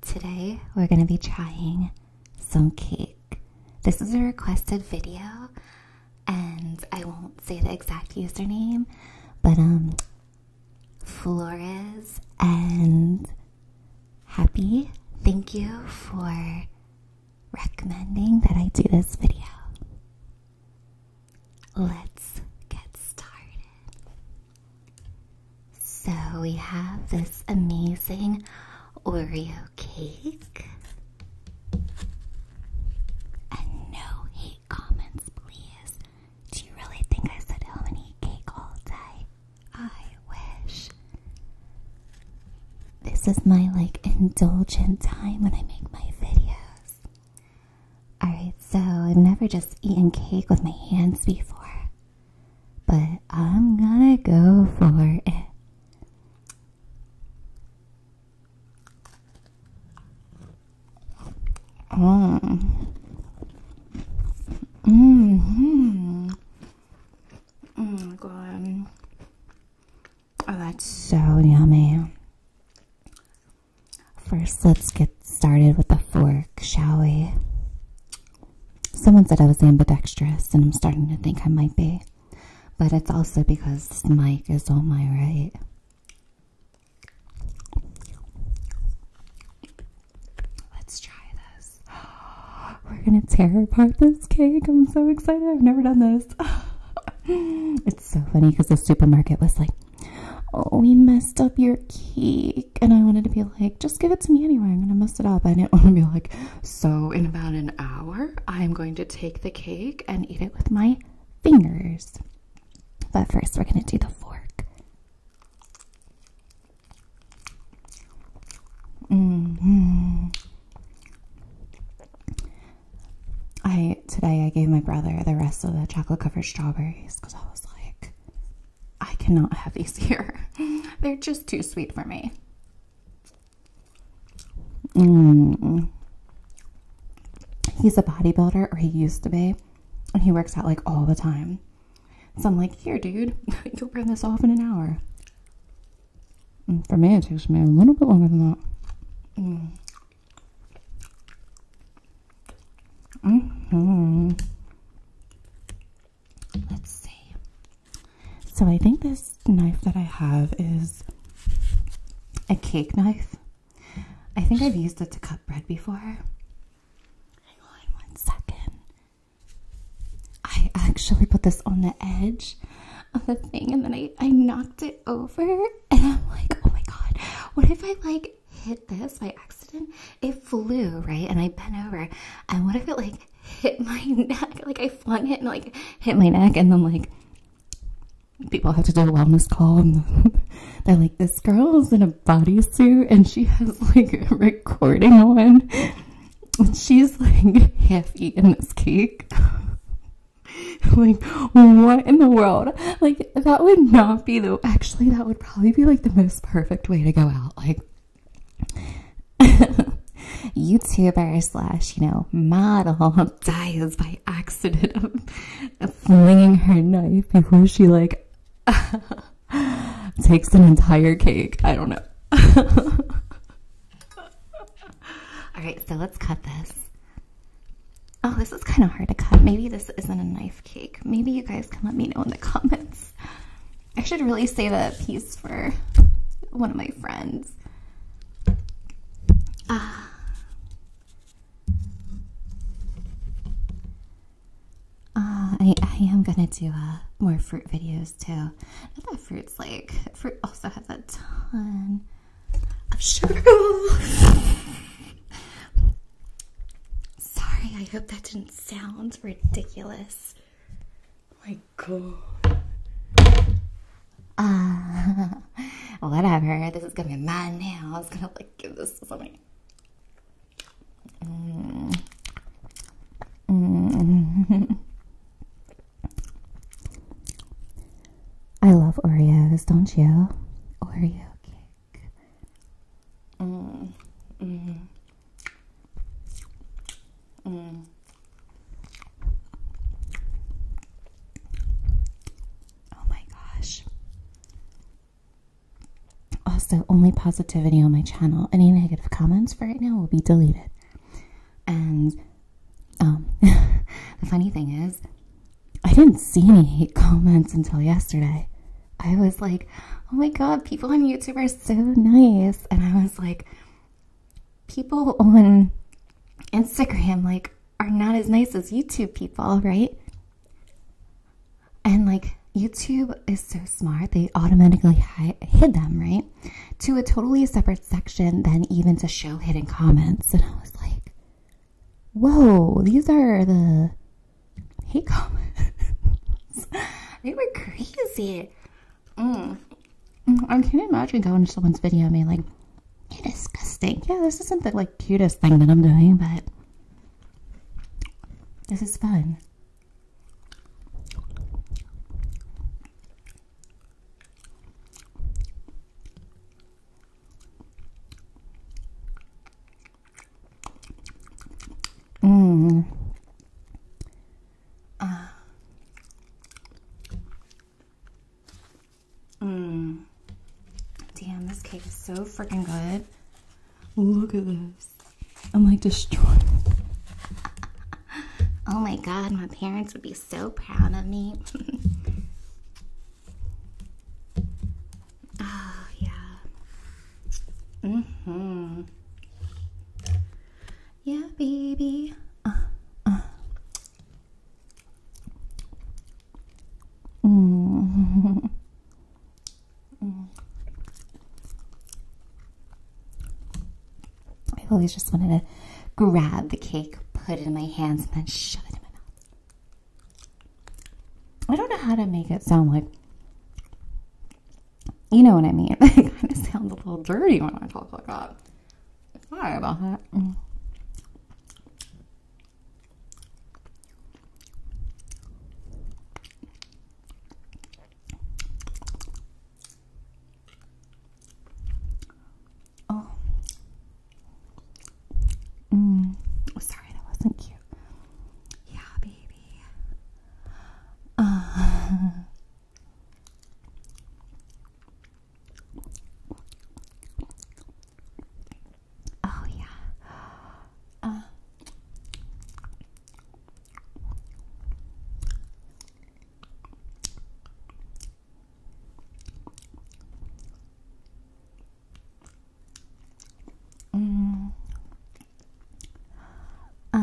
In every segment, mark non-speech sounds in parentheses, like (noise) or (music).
Today we're going to be trying some cake. This is a requested video and I won't say the exact username but um, Flores and Happy thank you for recommending that I do this video. Let's get started. So we have this amazing Oreo cake. And no hate comments, please. Do you really think I sit home and eat cake all day? I wish. This is my like indulgent time when I make my videos. Alright, so I've never just eaten cake with my hands before, but I'm gonna go for it. Mmm. Mmm. Oh my mm, god. Oh, that's so yummy. First, let's get started with the fork, shall we? Someone said I was ambidextrous, and I'm starting to think I might be. But it's also because the mic is on my right. Let's try this. (gasps) We're gonna tear apart this cake. I'm so excited. I've never done this. (laughs) it's so funny because the supermarket was like, oh, we messed up your cake. And I wanted to be like, just give it to me anyway. I'm going to mess it up. I didn't want to be like, so in about an hour, I'm going to take the cake and eat it with my fingers. But first, we're going to do the fork. -hmm. I today I gave my brother the rest of the chocolate covered strawberries because I was like, I cannot have these here. (laughs) They're just too sweet for me. Mm. He's a bodybuilder, or he used to be, and he works out like all the time. So I'm like, here, dude, (laughs) you'll burn this off in an hour. Mm, for me, it takes me a little bit longer than that. Mm hmm Let's see. So I think this knife that I have is a cake knife. I think I've used it to cut bread before. Hang on one second. I actually put this on the edge of the thing and then I, I knocked it over (laughs) and I'm like, oh my god, what if I like hit this by accident? It flew, right? And I bent over. And what if it like hit my (laughs) neck? Like I flung it and like hit my neck and then like people have to do a wellness call and (laughs) they're like, this girl is in a bodysuit and she has like a recording on. And she's like half eaten this cake. (laughs) like what in the world like that would not be the actually that would probably be like the most perfect way to go out like (laughs) youtuber slash you know model (laughs) dies by accident of flinging her knife before she like takes an entire cake i don't know all right so let's cut this Oh, this is kind of hard to cut. Maybe this isn't a knife cake. Maybe you guys can let me know in the (laughs) comments. I should really save a piece for one of my friends. Ah. Uh, I, I am gonna do uh, more fruit videos too. Not that fruit's like, fruit also has a ton i of sugar. Sorry, I hope that didn't sound ridiculous. Oh my god. Uh, (laughs) whatever. This is gonna be mine now. I was gonna like give this to somebody. Mm. mm. (laughs) I love Oreos, don't you? Oreo cake. Mm. Mm. Mm. Oh my gosh. Also, only positivity on my channel. Any negative comments for right now will be deleted. And um, (laughs) the funny thing is, I didn't see any hate comments until yesterday. I was like, oh my god, people on YouTube are so nice. And I was like, people on Instagram, like, are not as nice as YouTube people, right? And like, YouTube is so smart, they automatically hide, hid them, right? to a totally separate section than even to show hidden comments. And I was like, whoa, these are the hate comments. (laughs) they were crazy. Mm. Mm, I can't imagine going to someone's video and being like, disgusting. Yeah, this isn't the like cutest thing that I'm doing, but this is fun. Mmm. Uh. Mm. Damn, this cake is so freaking good. Look at this. I'm like destroyed. (laughs) oh my god, my parents would be so proud of me. (laughs) oh, yeah. hmm. Yeah, baby. Uh, uh. (laughs) Mm. I've always just wanted to grab the cake, put it in my hands, and then shove it in my mouth. I don't know how to make it sound like. You know what I mean? (laughs) It kind of sounds a little dirty when I talk like that. Sorry about that. Oh. Mm. Sorry, that wasn't cute. Yeah, baby. Uh. Oh, yeah. Uh. うんあ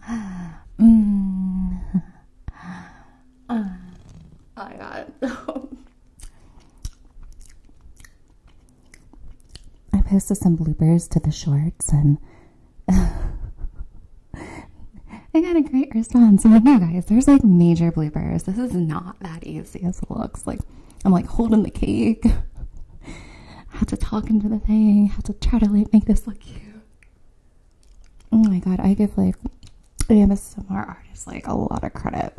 あうんあありがとう I posted some bloopers to the shorts and I got a great response. I'm like, no, guys, there's like major bloopers. This is not that easy as it looks. Like, I'm like holding the cake. I had to talk into the thing. I had to try to like make this look cute. Oh my god, I give like I give ASMR artists like a lot of credit.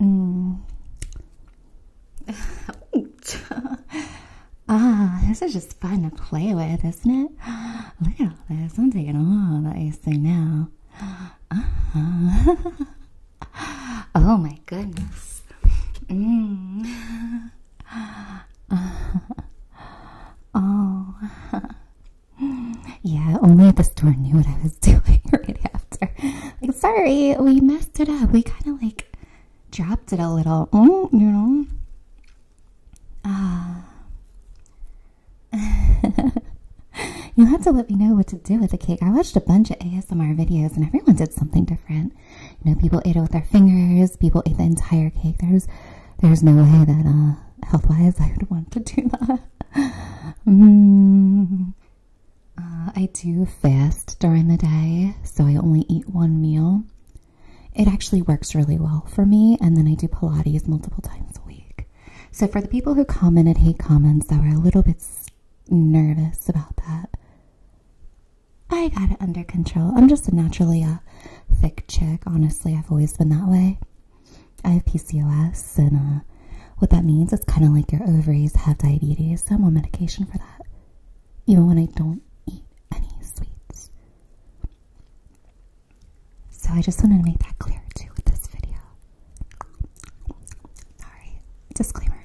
Mm ah, this is just fun to play with, isn't it? Look at all this. I'm taking all that you see now. Ah. oh my goodness. Mm. oh. Yeah, only the store knew what I was (laughs) doing right after. sorry, we messed it up. We kind of like dropped it a little. Mm, you know. Ah. (laughs) You'll to let me know what to do with the cake. I watched a bunch of ASMR videos and everyone did something different. You know, people ate it with their fingers, people ate the entire cake. There's there's no way that uh health wise I would want to do that. (laughs) mm. Uh, I do fast during the day, so I only eat one meal. It actually works really well for me, and then I do Pilates multiple times a week. So, for the people who commented hate comments that were a little bit nervous about that, I got it under control. I'm just a naturally a thick chick. Honestly, I've always been that way. I have PCOS, and uh, what that means is kind of like your ovaries have diabetes, so I'm on medication for that even when I don't eat any sweets. So I just wanted to make that clear too with this video. Alright, disclaimer.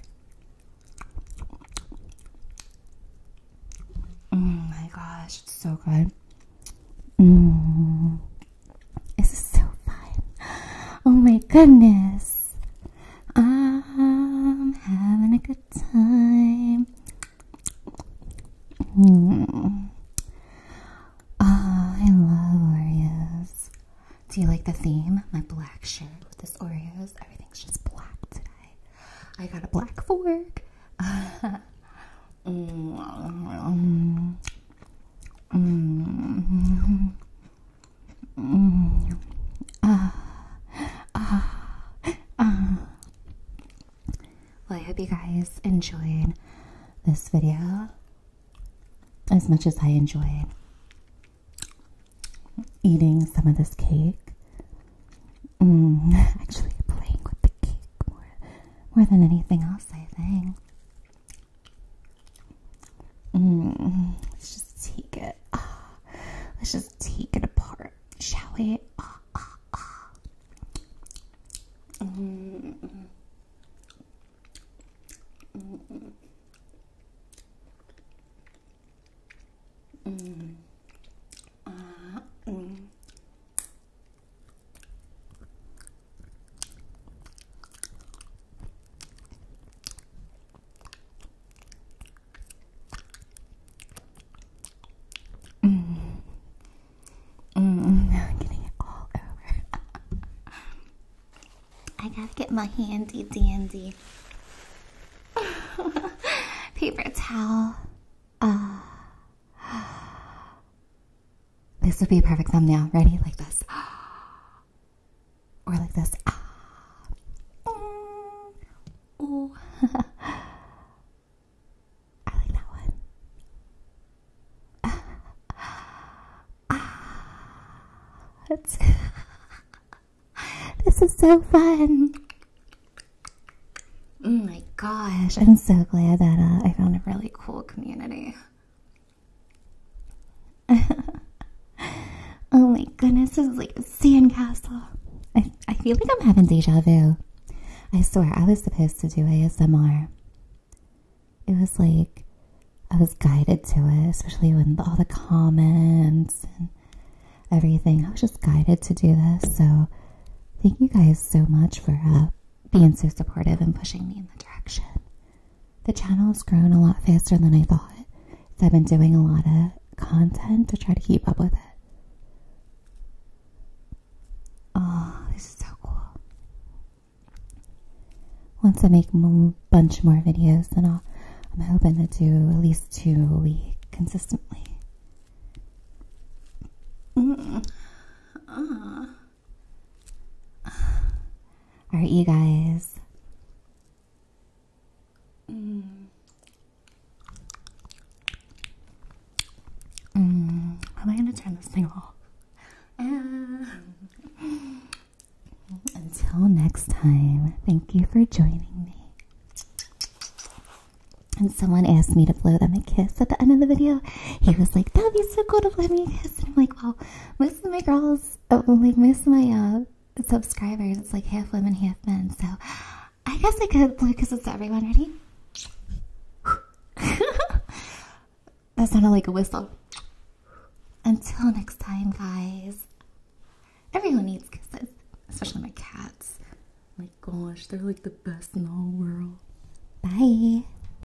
Oh my gosh, it's so good. Mm. This is so fun. (gasps) Oh my goodness. I'm having a good time. I love Oreos. Do you like the theme? My black shirt with this Oreos. Everything's just black today. I got a black fork. (laughs) Mm. Mm. Well, I hope you guys enjoyed this video as much as I enjoyed eating some of this cake. Mm, (laughs) actually, playing with the cake more than anything else, I think let's just take it. Ah, let's just take it apart, shall we? Ah, ah, Mm. Mm. i getting it all over. I gotta get my handy dandy (laughs) paper towel. Uh, (sighs) this would be a perfect thumbnail. Ready? Like this. (gasps) (gasps) or like this ah, mm, ooh. (laughs) I like that one. (laughs) ah, it's (laughs) this is so fun. Oh my gosh, I'm so glad that uh, I found a really cool community. (laughs) oh my goodness, It's like a sandcastle. I, I feel like I'm having deja vu. I swear, I was supposed to do ASMR. It was like I was guided to it, especially when all the comments and everything. I was just guided to do this. So, thank you guys so much for uh, being so supportive and pushing me in the direction the channel has grown a lot faster than I thought, so I've been doing a lot of content to try to keep up with it. Oh, this is so cool. Once I make a bunch more videos, then I'll, I'm hoping to do at least two a week consistently. Mm Alright, you guys? Mm. Mm. How am I going to turn this thing off? Ah. Until next time, thank you for joining me. And someone asked me to blow them a kiss at the end of the video. He was like, That'd be so cool to blow me a kiss. And I'm like, Well, most of my girls, uh, like most of my uh, subscribers, it's like half women, half men. So I guess I could blue because it's everyone. Ready? (laughs) that sounded like a whistle. Until next time, guys. Everyone needs kisses, especially my cats. Oh my gosh, they're like the best in the whole world. Bye.